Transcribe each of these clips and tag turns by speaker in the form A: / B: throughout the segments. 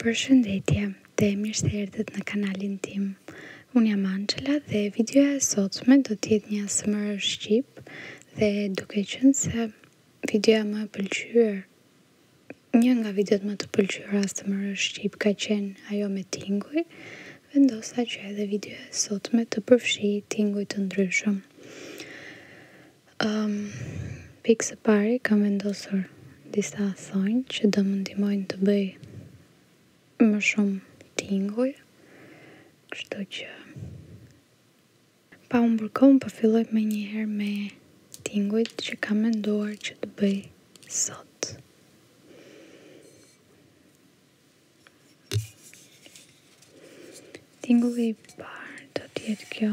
A: Për shëndetje, dhe mirë se erdhët në kanalin tim. Unë jam Angela dhe videoja e sotme do tjetë një asëmër shqip dhe duke qënë se videoja më pëlqyër, një nga videot më të pëlqyër asëmër shqip ka qenë ajo me tinguj, vendosa që edhe videoja e sotme të përfshi tinguj të ndryshëm. Um, pikë pari kam vendosur disa thonjë që do më ndimojnë të bëj më shumë tinguj, kështu që pa më bërkom, pa po filloj me njëherë me tinguj që kam menduar që të bëj sot. Tingulli i parë do të kjo.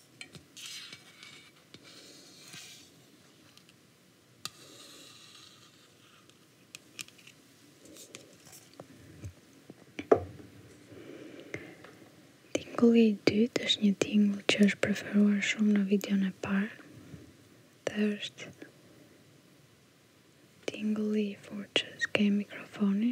A: Tingulli i dytë është një tingull që është preferuar shumë në videon e parë dhe është tingulli i fortë që s'ke mikrofoni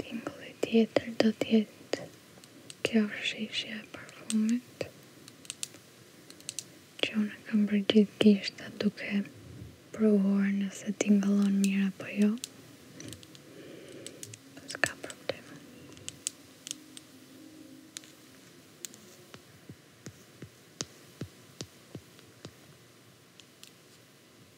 A: Timbulli tjetër do tjetë kjo rëshishja e parfumit që unë e kam për gjithë duke provuar nëse tingëllon mirë apo jo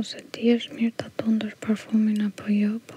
A: Ose ti është mirë të të ndër parfumin apo jo, po.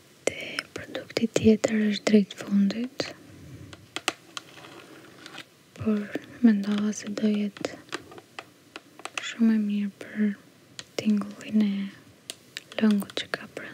A: Dhe produkti tjetër është drejt fundit. Por mendova se do jetë shumë e mirë për tingullin e lëngut që ka brenda.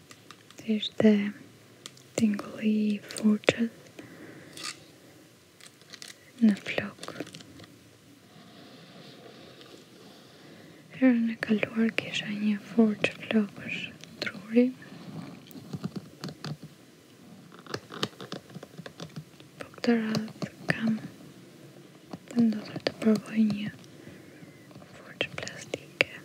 A: ishte tingulli i furqës në flok Herën e kaluar kisha një furqë flokësh truri po këtë radhë kam të ndodhër të përvoj një furqë plastike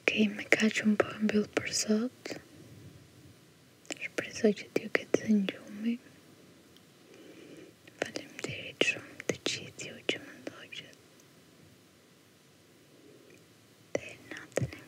A: Ok, me kaqëm po e mbillë për sot Shpresoj që t'ju këtë zënë gjumë Falem të rritë shumë të qitë t'ju që më ndoqët Dhe natën e